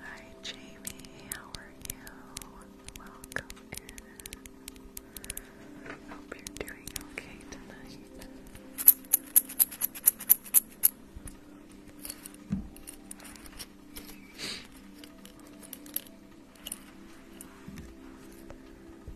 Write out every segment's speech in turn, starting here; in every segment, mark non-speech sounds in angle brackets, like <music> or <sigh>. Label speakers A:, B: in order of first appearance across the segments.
A: Hi, Jamie. How are you? Welcome Hope you're doing okay tonight.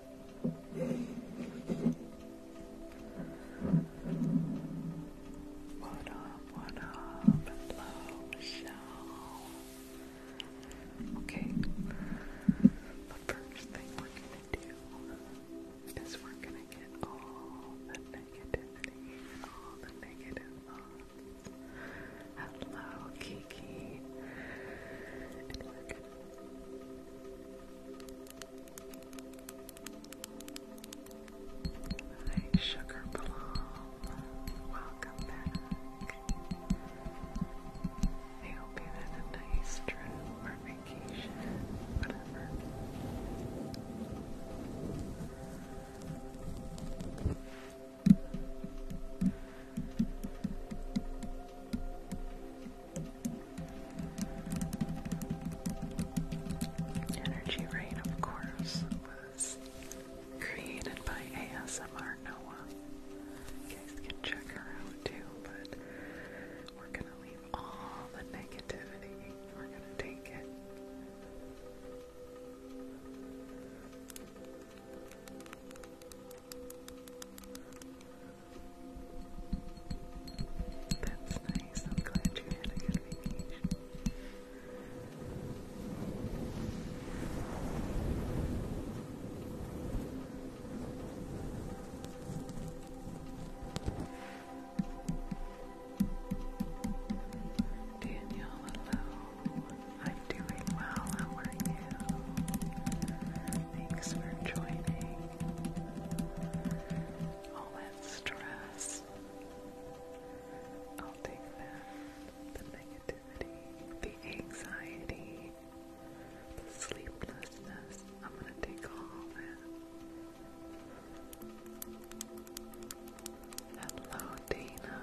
A: What up, Okay, the first thing we're gonna do is we're gonna get all the negativity and all the negative thoughts. Hello, Kiki. Like welcome back. I hope you had a nice trip or vacation, Energy Rain, of course, was created by ASMR Noah. You guys can check her out too, but we're gonna leave all the negativity. We're gonna take it. That's nice. I'm glad you had a good vacation. Danielle, hello. I'm doing well. How are you? Thanks for joining. All that stress. I'll take that. The negativity, the anxiety, the sleeplessness. I'm gonna take all that. Hello, Dana.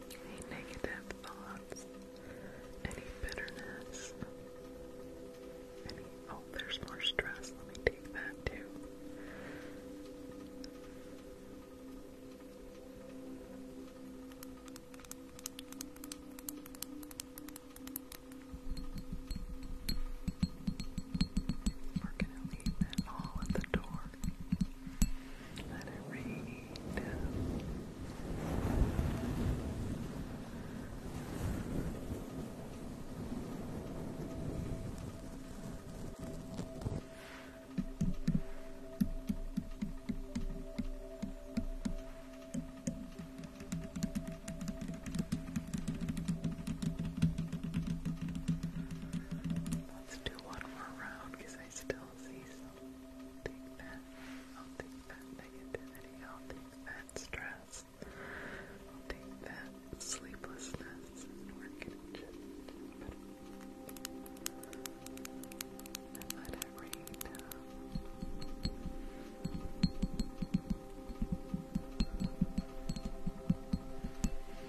A: any negative thoughts, any bitterness, Oh, there's more stress. Let me take that too. We're going to leave that all at the door. Let it rain down. Let's do one more round because I still will see I'll take that negativity, I'll take that stress, I'll take that sleeplessness, and we're to let it rain down.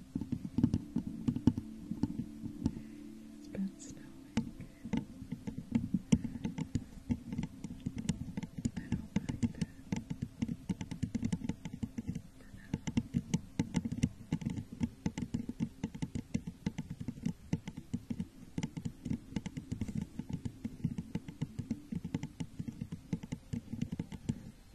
A: It's been snowing. I don't like that. I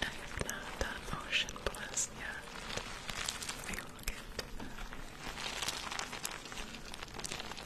A: I've not done Ocean Bliss yet. We will get to that.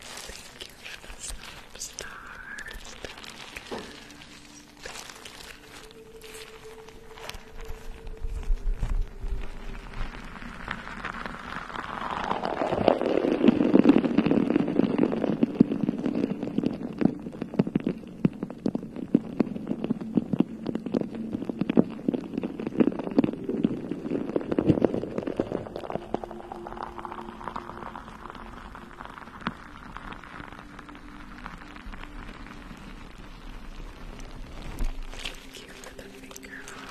A: Thank you for the sub stars. Thank you. Thank you for the finger heart.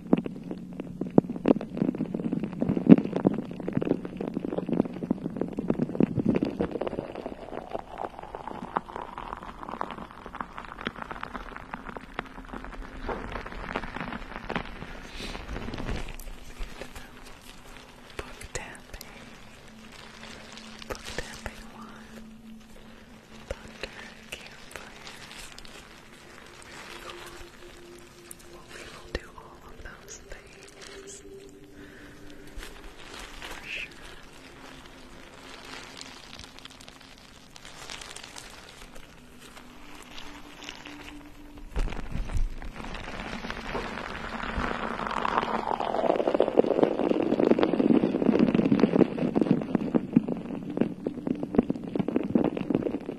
A: Book tapping. Book tapping one. Thunder campfire. Well, we will do all of those things. For sure.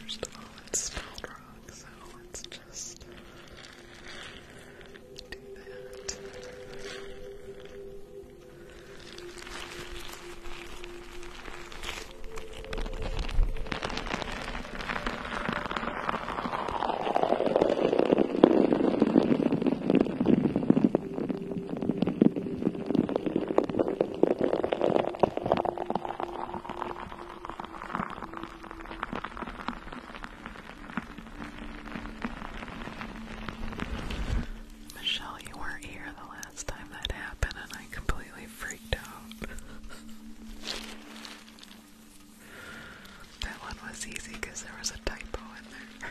A: First of all, it's spelled wrong, so let's just do that. Michelle, you weren't here the last time that happened, and I completely freaked out. That one was easy because there was a typo in there.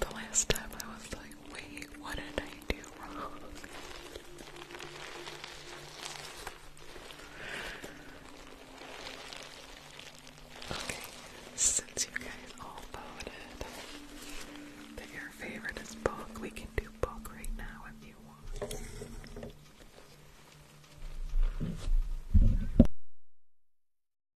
A: the last time I was like, wait, what did I do wrong? Okay, since you guys all voted that your favorite is book, we can do book right now if you want.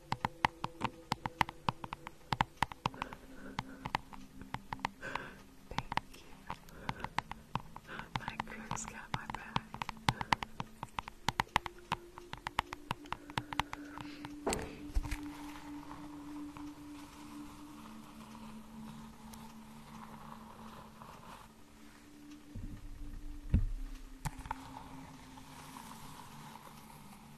A: Thank you. My crew's got my back.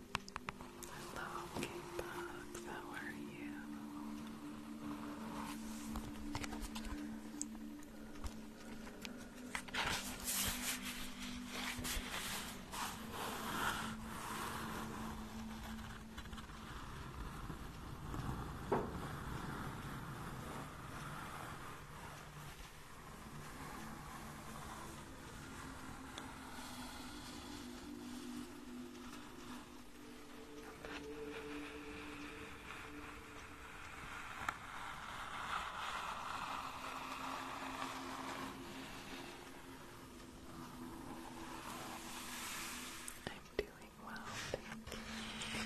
A: Hello, K-Bugs. How are you? I'm doing well, thank you.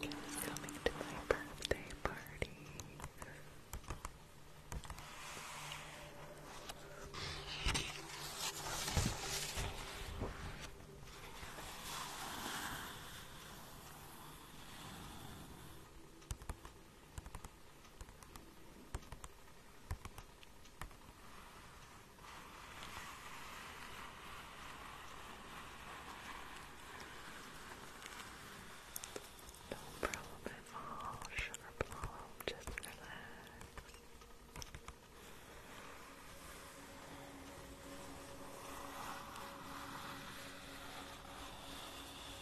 A: Ken's coming to my birthday party. No problem at all, sugar plum, just relax. Good.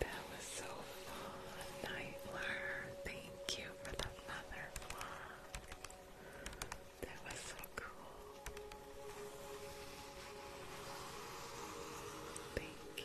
A: That was so fun, Nightlar. Thank you for the mother block. That was so cool. Thank you.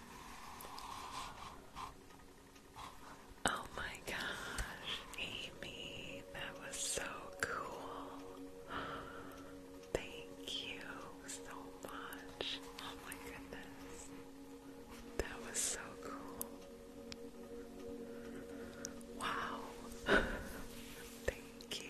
A: Oh my gosh, Amy, that was so cool. Thank you so much. Oh my goodness. That was so cool. Wow. <laughs> Thank you.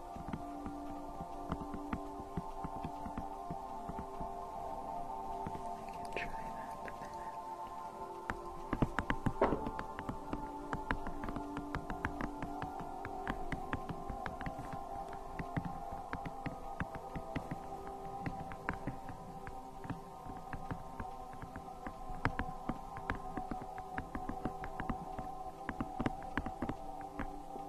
A: I can try that in a minute. I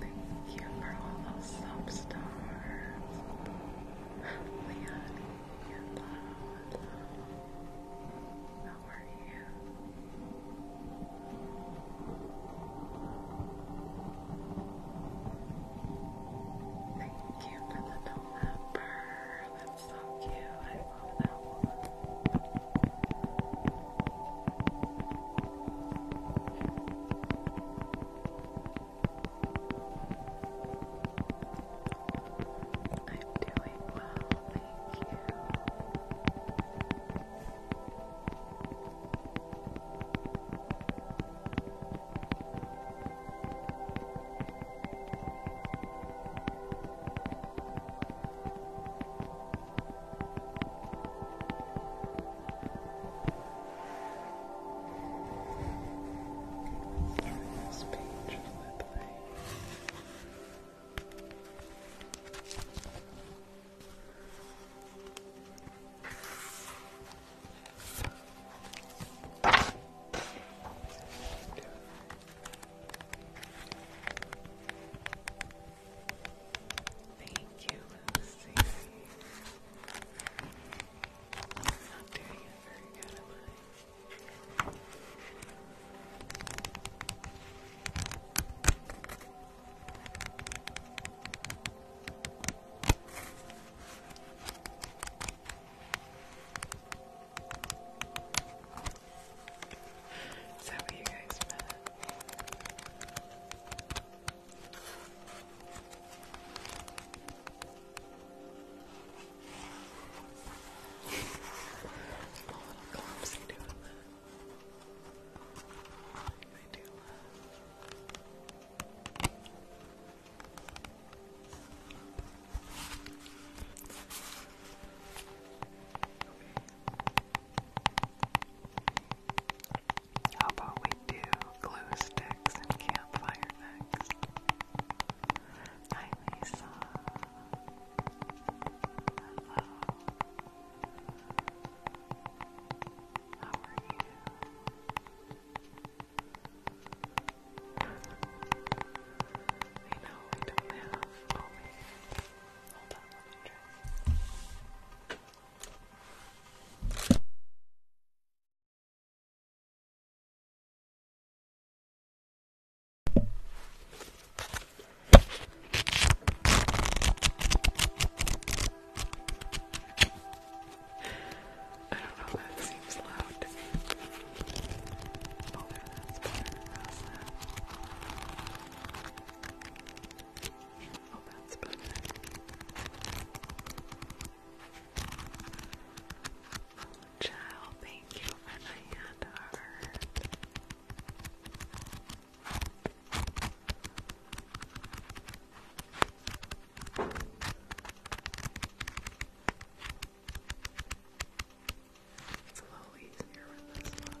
A: Thank you for all those sub stars. Leonie, hello, hello. How are you? Thank you for the November. That's so cute. I love that one. I'm doing well, thank you. Turn this page that way. Good. Thank you, Lucy. not doing very good, am I? Is that what you guys I'm a little clumsy doing that. I do love. Okay. How about we do glue sticks and campfire next? Hi, Lisa. Hello. How are you? I know I don't have. Hold on, let me try. I don't know, that seems loud to me. Oh, there, that's better. How's that? child, thank you for the hand heart. It's a little easier with this one.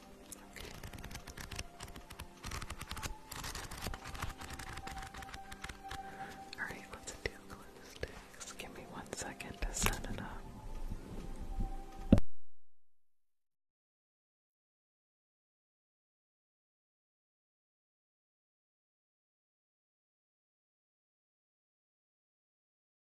A: Alright, let's do glue sticks. Give me one second to set it up.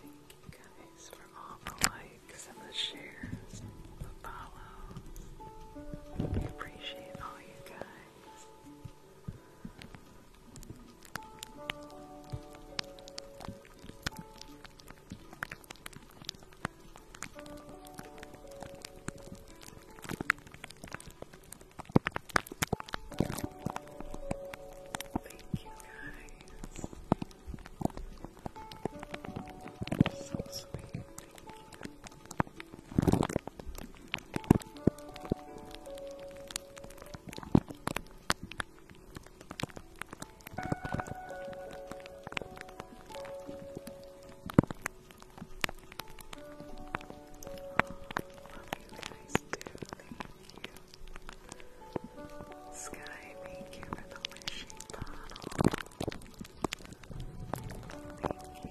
A: Thank you guys for all the likes and the shares, the follows. We appreciate all you guys. Thank you guys. So sweet. Love you guys too. Thank you. Sky, thank you for the wishing bottle. Thank you.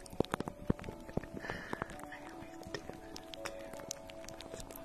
A: always do that too. That's funny.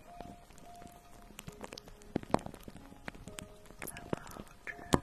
A: Hello, Drew. Have a nice day.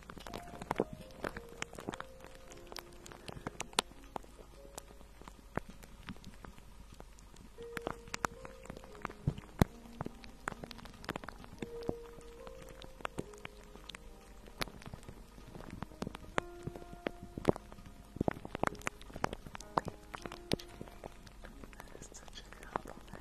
A: That is such a compliment.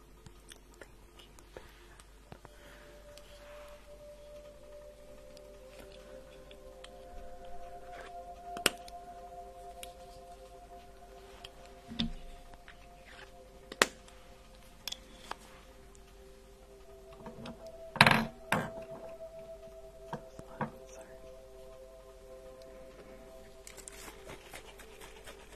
A: Thank you, Pam. Sorry.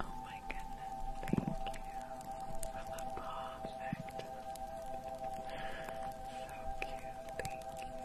A: Oh my goodness, thank you for the perfect. So cute, thank you.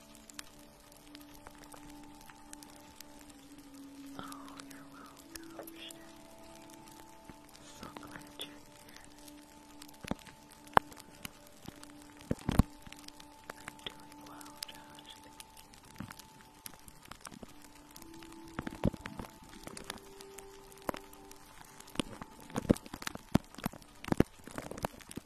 A: Oh, you're welcome, So glad you're here. I'm doing well, Josh.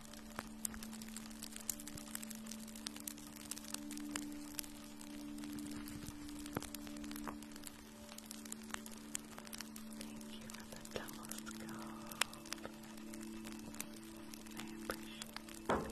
A: Thank you for the telescope. I appreciate it.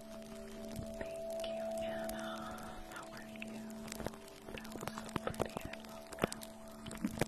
A: Thank you, Anna. How are you? That was so pretty. Thank you so much.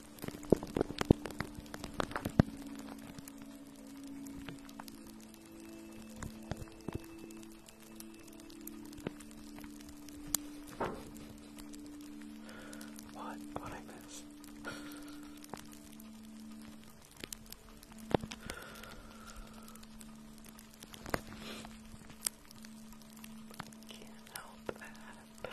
A: What? What I miss? Can't help that.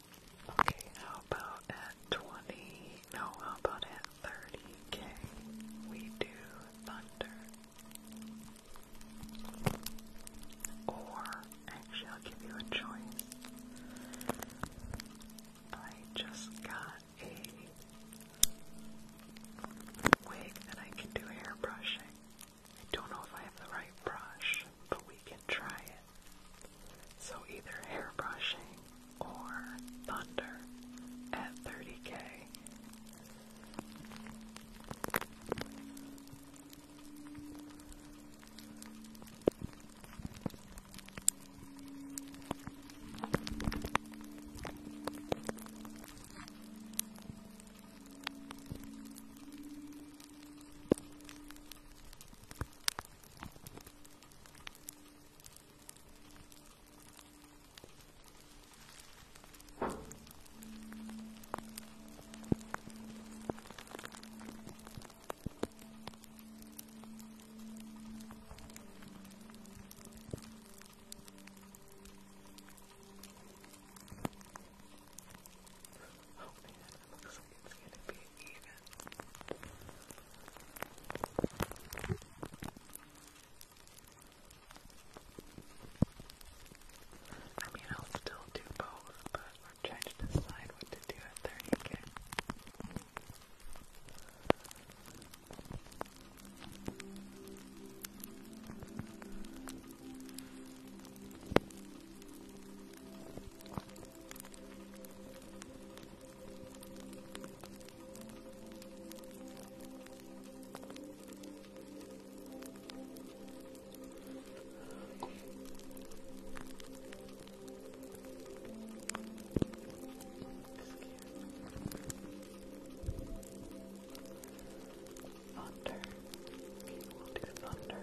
A: Okay, how about at 20? No, how about at 30k? We do thunder. Or, actually, I'll give you a choice. I just got a wig that I can do hair brushing. I don't know if I have the right brush, but we can try it. So either hairbrushing or thunder at 30k. Oh man, it looks I mean, I'll still do both, but I'm trying to decide what to do at 30k. Thunder. People do thunder.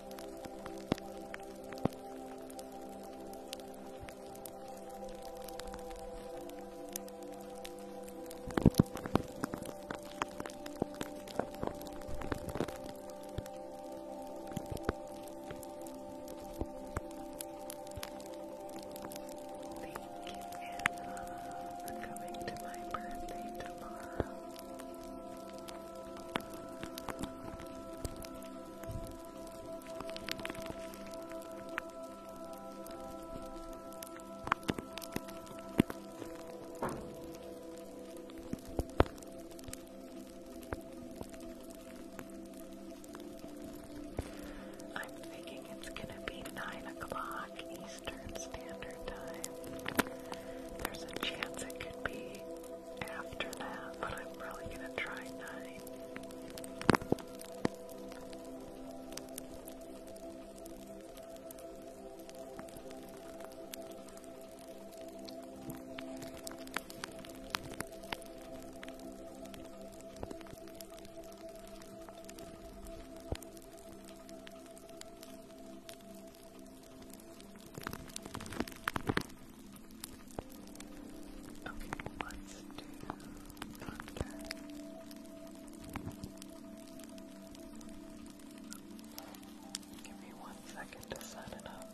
A: Anna, for coming to my birthday tomorrow. I'm thinking it's going to be 9 o'clock Eastern Standard Time. There's a chance it could be after that, but I'm really going to try 9. Okay, let's do contact. Give me one second to set it up.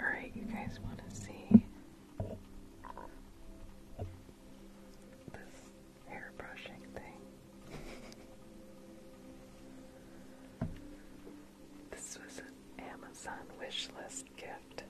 A: Alright, you guys want to see this hair thing. this was an Amazon wish list gift.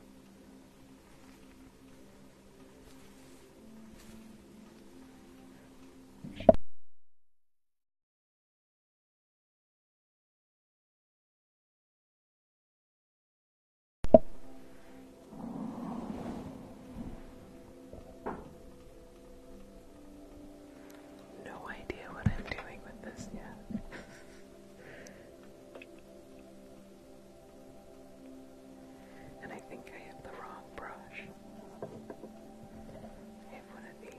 A: No idea what I'm doing with this yet. and I think I have the wrong brush. have one of these.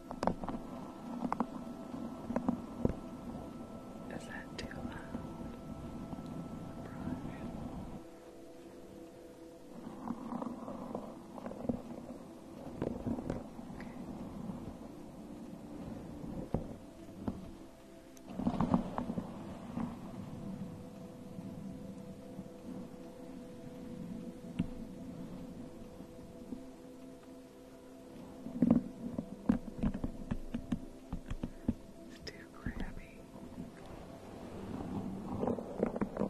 A: Is that too loud? Okay. It's too crabby. All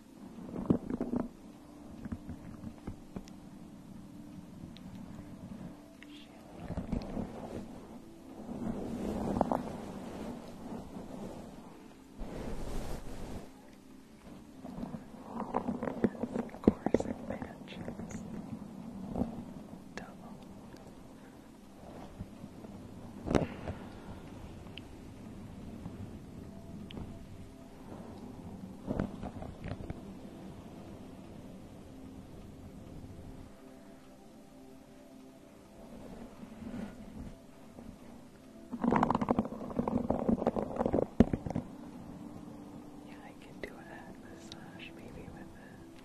A: Of course, it matches. Double. Yeah, I can do a head massage maybe with it.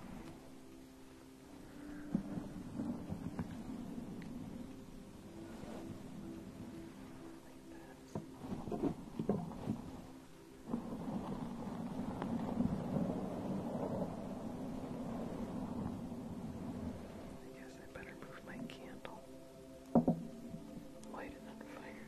A: I guess I better move my candle. Light it fire.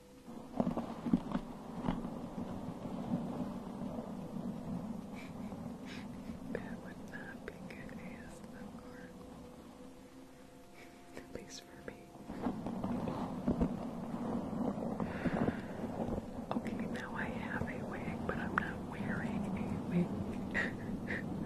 A: That would not be good ASMR. At least for me. Okay, now I have a wig, but I'm not wearing a wig. <laughs>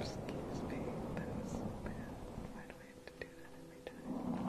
A: Excuse me, that was bad. Why do I have to do that every time?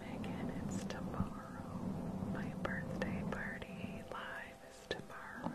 A: Megan, it's tomorrow. My birthday party live time tomorrow.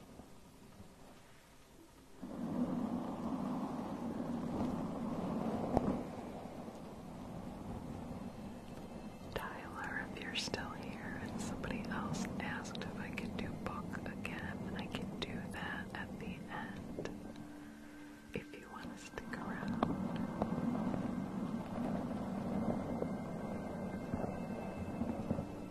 A: Tyler, if you're still here, and somebody else asked if I could do book again, I can do that at the end if you want to stick around.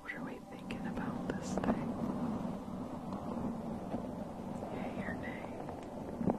A: What are we thinking about this thing? Yay or nay?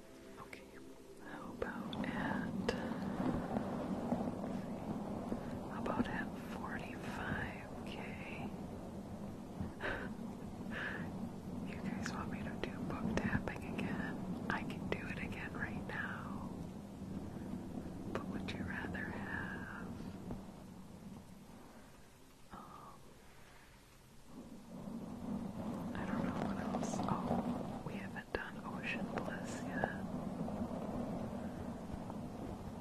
A: Okay, how about at about at forty-five K? you guys want me to do book tapping again? I can do it again right now. But would you rather have um, I don't know what else. Oh, we have done Ocean Bliss Yeah,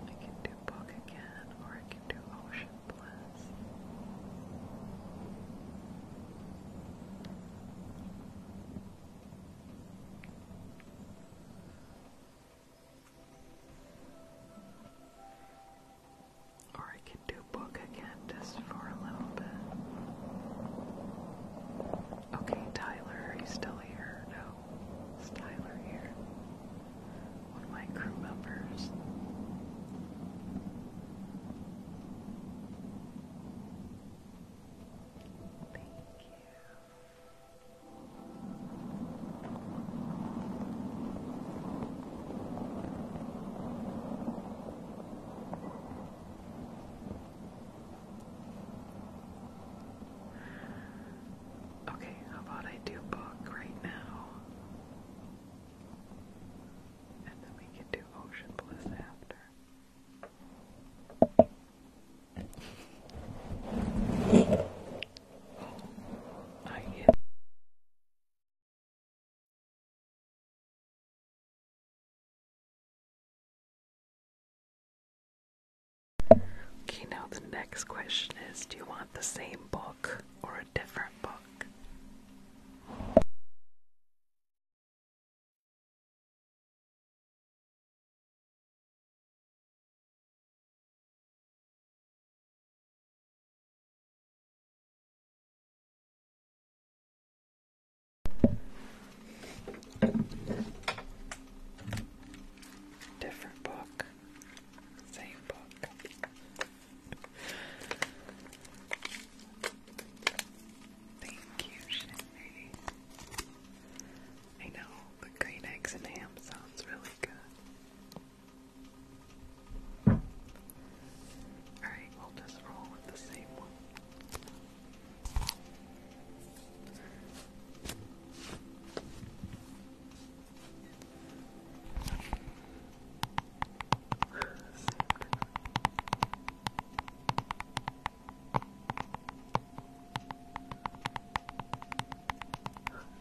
A: I can do book again, or I can do Ocean Bliss. Or I can do book again. Candace for a little bit. Okay, Tyler, are you still here? No. Tyler here? One of my crew members. Thank you. Okay, how about I do book right now? And then we can do Ocean Bliss after. I Okay, now the next question is Do you want the same book or a different book? Different book, same book. Thank you, Shindy. I know the green eggs and ham sounds really good. Alright, we'll just roll with the same one.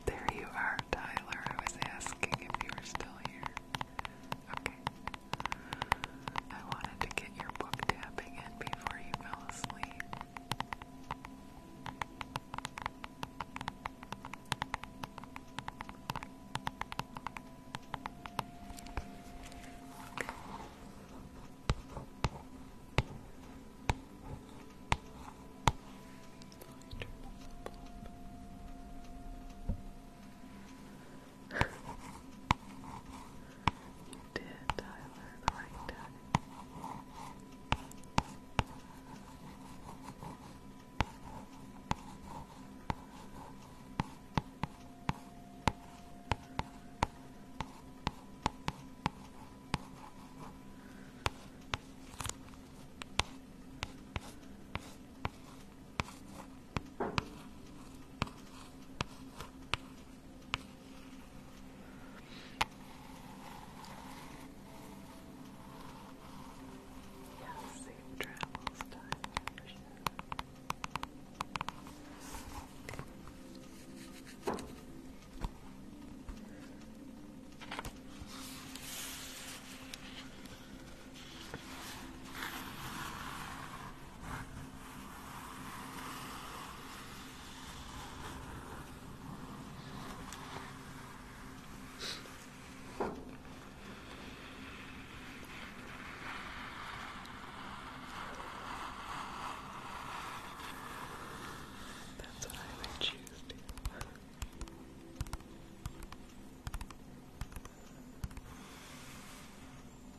A: There you are, Tyler. I was asking if you were still here. Okay. I wanted to get your book tapping in before you fell asleep you <laughs> did, Tyler, the right Yes, safe travels time for sure. That's what I would choose to.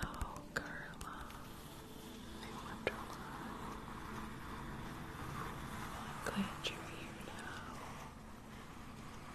A: Oh, Carla, I wonder I'm glad you're here now.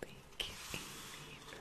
A: Thank you, Amy, for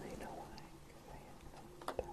A: I know why, because I have no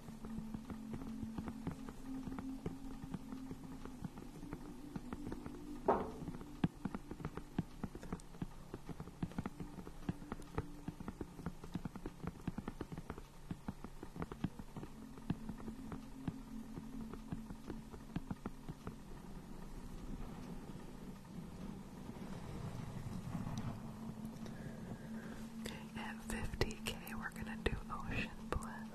A: at 50k, we're gonna do Ocean Bliss.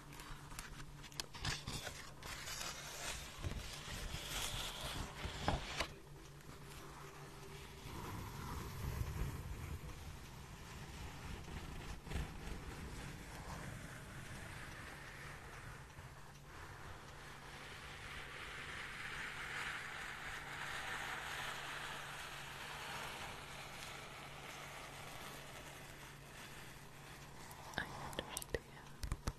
A: I understand.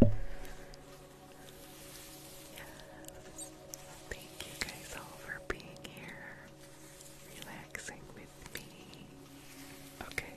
A: Thank you guys all for being here, relaxing with me. Okay.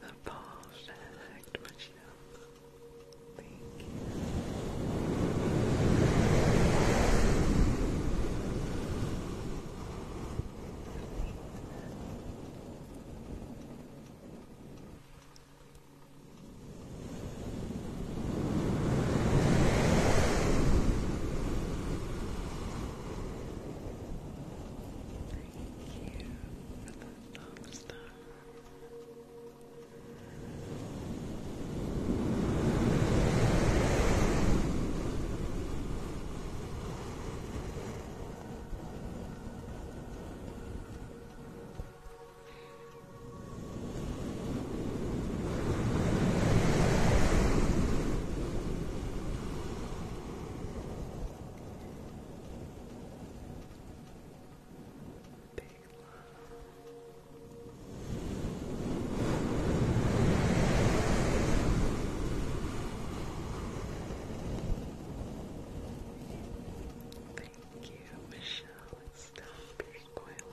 A: the perfect Michelle. Thank you. I Thank you for the thumbs down. Thank you, Michelle. It's recoiling.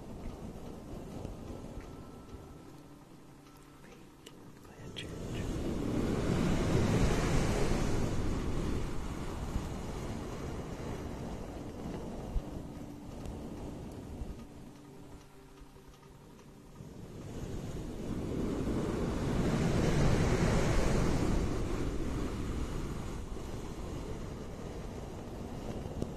A: Blanchard. Thank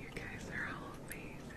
A: You guys are all amazing.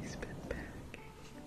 A: He's been packing. Nice.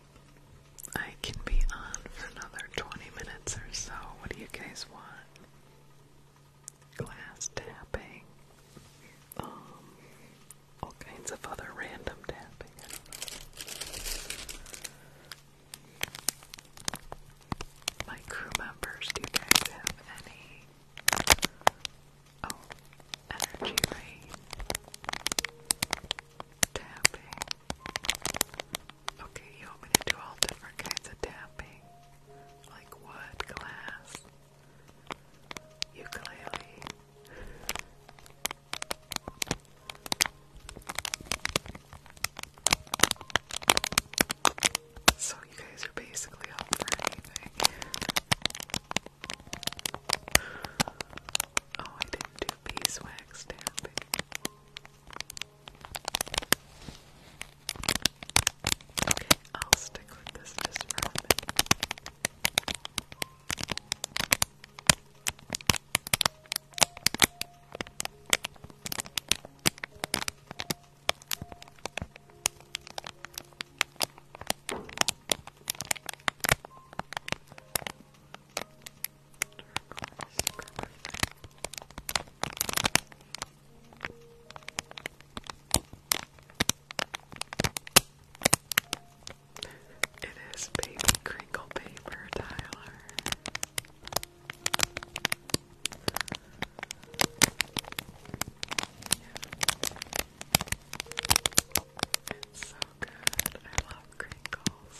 A: I can be on for another 20 minutes or so. What do you guys want? Glass tapping, um, all kinds of other random tapping. My crew members, do you guys have any? Oh, energy rain, tapping. Okay, you want me to do all different kinds of tapping? Like wood, glass, ukulele. So you guys are basically up for anything. Oh, I didn't do beeswax tapping. Okay, I'll stick with this just for a minute. It is baby crinkle paper, Tyler. It's so good. I love crinkles.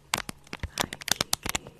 A: Hi Kiki, hello.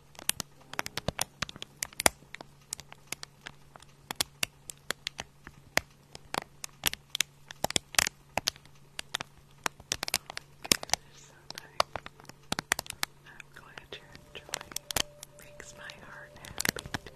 A: I'm glad you're enjoying. Makes my heart happy. Too.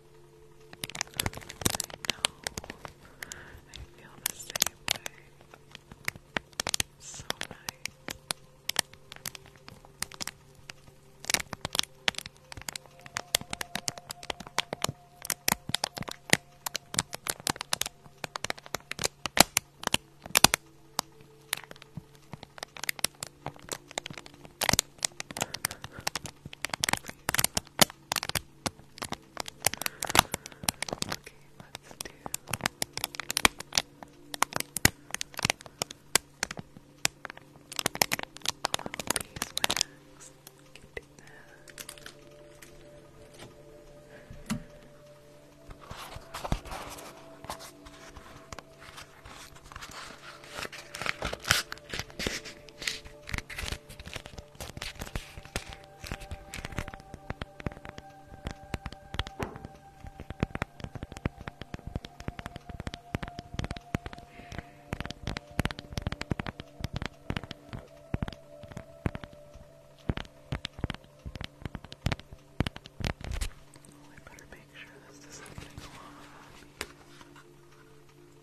A: I feel the same way. So nice. Okay, let's do. A little beeswax. Can do that. Okay. I better make sure this doesn't get off.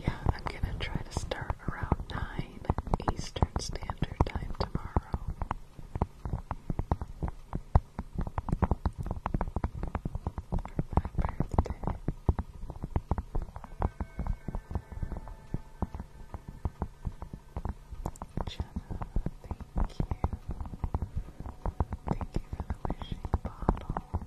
A: Yeah, I'm gonna try to stir around 9 Eastern Standard Time tomorrow. For birthday. Jenna, thank you. Thank you for the wishing bottle.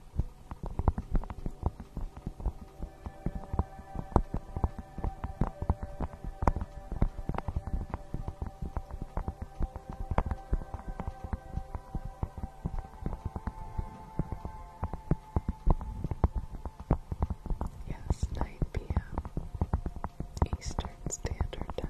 A: Yes, 9 p.m. Eastern Standard Time.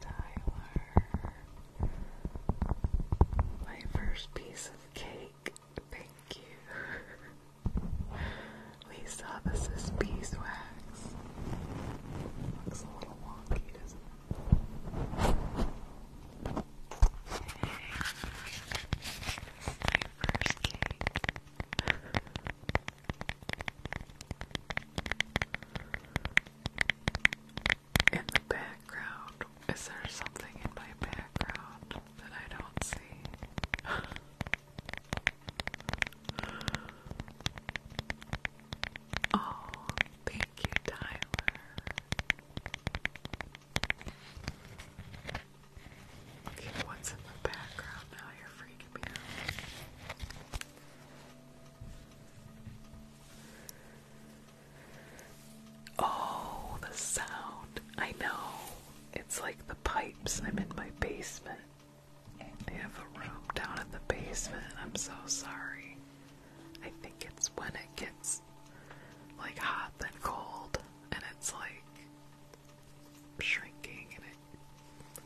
A: Tyler. My first piece of cake. Thank you. <laughs> Lisa, this beeswax. Looks a little wonky, doesn't it? first cake. In the background, is there something in my background that I don't see? <laughs> oh, thank you, Tyler. Okay, what's in the background now? You're free Oh, the sound. I know. It's like the pipes. I'm in my basement. I have a room down in the basement. I'm so sorry. I think it's when it gets like hot then cold and it's like shrinking and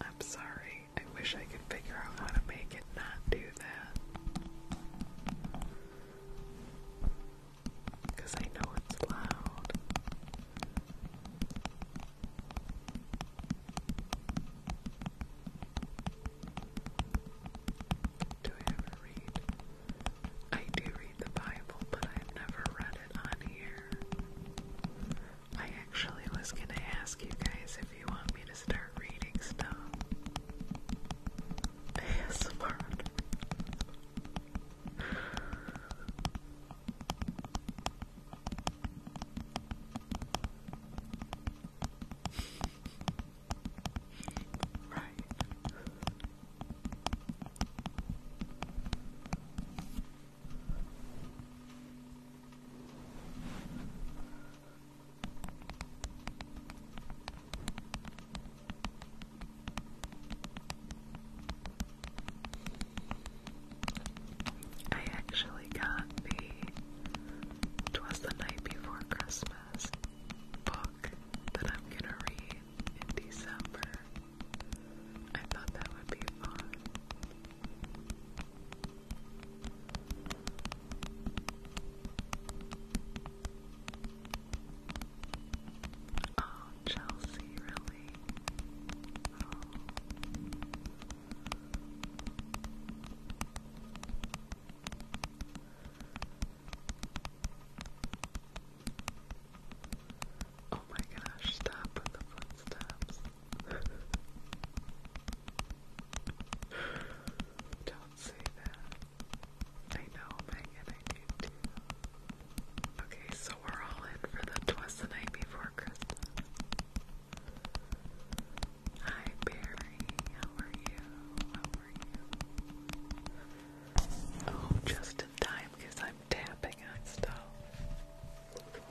A: I'm sorry. I wish I could figure out how to make it not do that. Cause I know it's loud. Do I ever read? I do read the Bible, but I've never read it on here. I actually was gonna ask you guys if you want me to start reading stuff. ASMR. right. I actually got the Twas the Night Before Christmas book that I'm gonna read in December. I thought that would be fun. Oh, Chelsea, really? Oh. Oh my gosh, stop with the footsteps. <laughs> Don't say that. I know, Megan, I Okay, so we're all in for the Twas the Night Before Christmas. Hi, Barry. How are you? How are you? Oh, just in time because I'm tapping on stuff.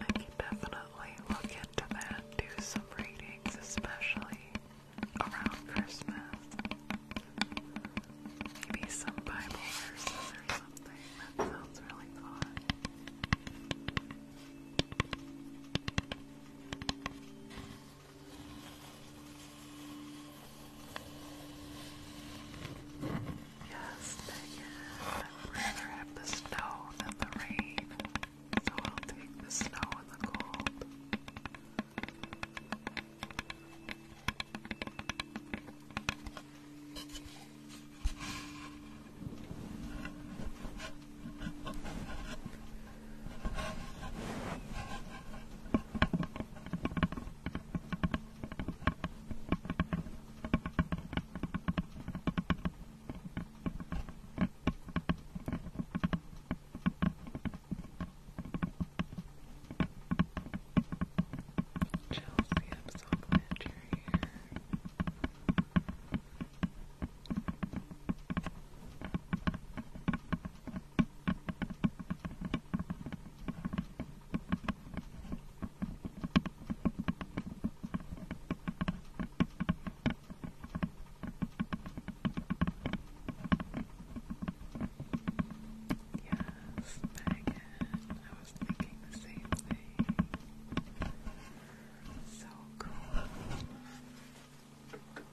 A: I can definitely look into that, do some readings, especially around Christmas. Maybe some Bible verses or something. That sounds really fun. Yes, Megan. we have the snow than the rain. So I'll take the snow and the cold. Chelsea, I'm so glad you're here. Yes, Megan, I was thinking the same thing. So cool.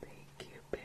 A: Thank you, Barry.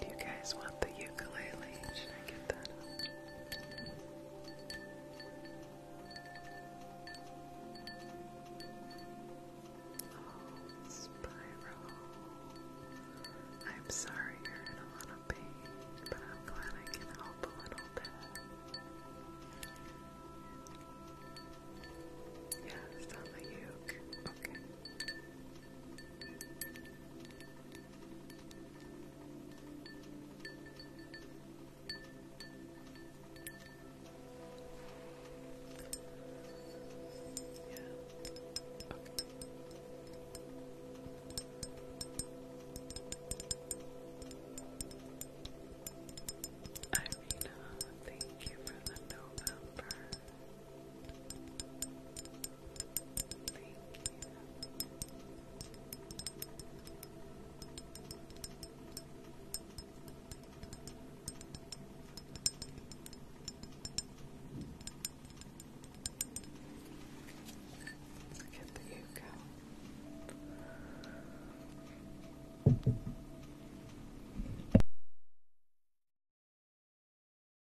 A: Do you guys want the ukulele? Should I get that Oh, Spiral. I'm sorry you're in a lot of pain, but I'm glad I can help a little bit. Yeah, it's on the Okay. Irina, thank you for the November. Look at the you go.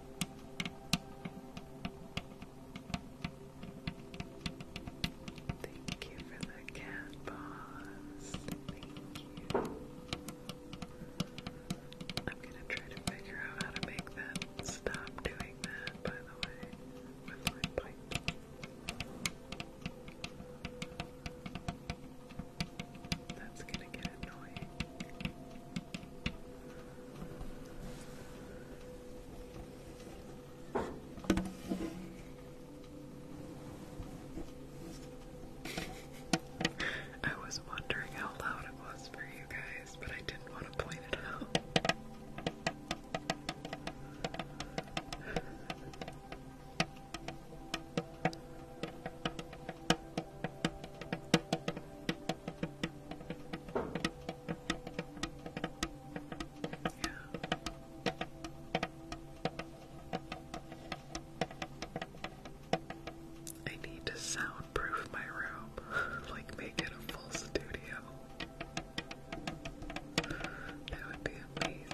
A: Thank you for the cat paws. Thank you. I'm gonna try to figure out how to make that stop doing that, by the way, with my pipe. That's gonna get annoying. I was wondering how loud it was for you guys, but I didn't want to point it out. I need to soundproof my room, <laughs> like make it a full studio. That would be amazing.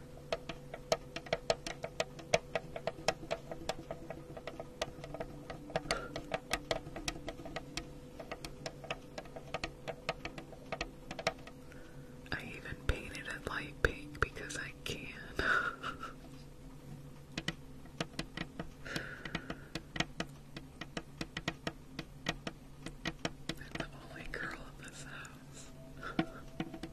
A: I even painted it light pink because I can. I'm <laughs> the only girl in this house. <laughs>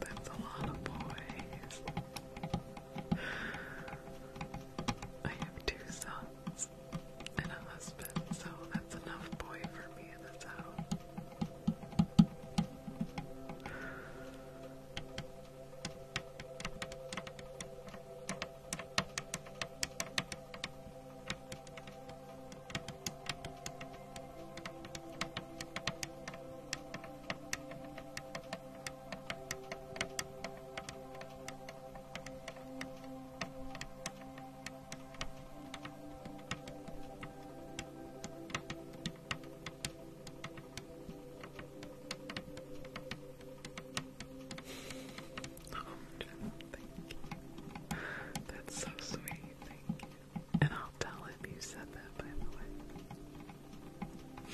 A: That's a lot of boys. I have two sons and a husband, so that's enough boy for me in this house. Oh, Jim, thank you. That's so sweet, thank you. And I'll tell him you said that, by the way.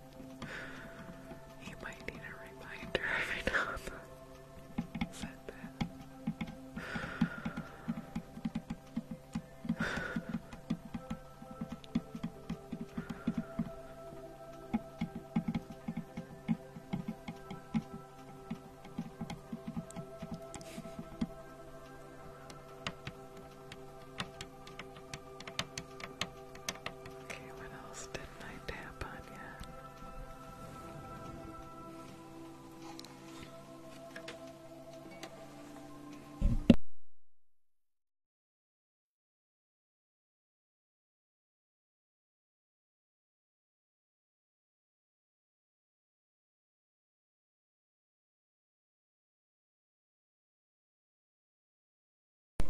A: <laughs> you might need a reminder every now and then. Okay, what else didn't I tap on yet?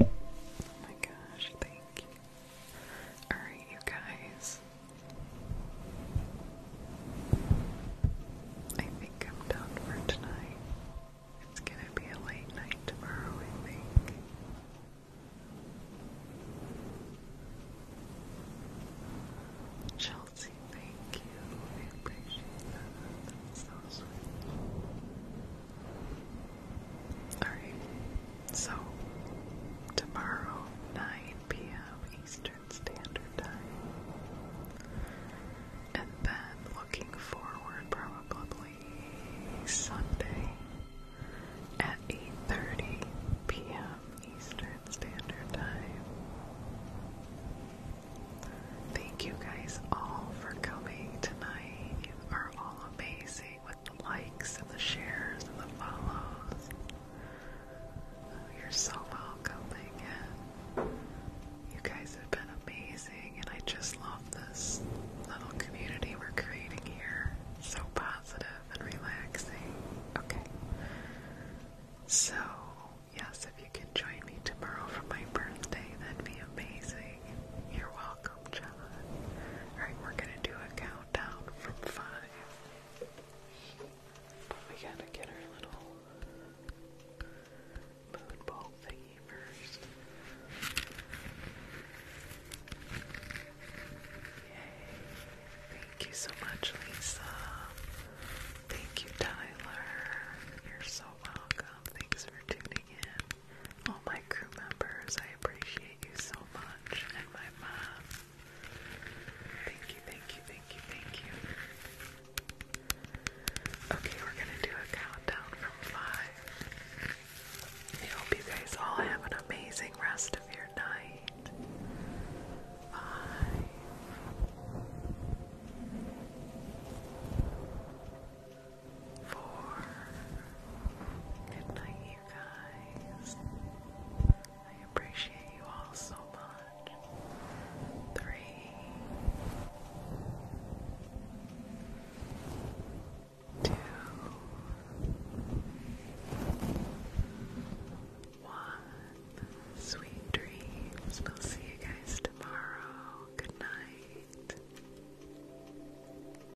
A: Oh my gosh, thank you. Alright, you guys. I think I'm done for tonight. It's gonna be a late night tomorrow, I think. Chelsea, thank you. I appreciate that. Alright, so tomorrow, 9 p.m. Eastern Standard Time. And then looking forward probably Sunday at 8.30 p.m. Eastern Standard Time. Thank you guys all for coming tonight. You are all amazing with the likes and the shares and the follows. You're so welcome, You guys have been amazing, and I just love this little community we're creating here. so positive and relaxing. Okay. So, yes, if you can join me tomorrow for my birthday, that'd be amazing. You're welcome. Alright, we're gonna do a countdown from five. we gotta get our little moon ball Yay. Thank you so much, Lisa. Thank you, Tyler. You're so welcome. Thanks for tuning in all my crew members. I appreciate you so much, and my mom. Thank you, thank you, thank you, thank you. Okay, we're gonna do a countdown from five. I hope you guys all have an amazing rest of your night. Bye four. Good you guys. I appreciate you all so much. Three, two, one. Sweet dreams. We'll see you guys tomorrow. Good night.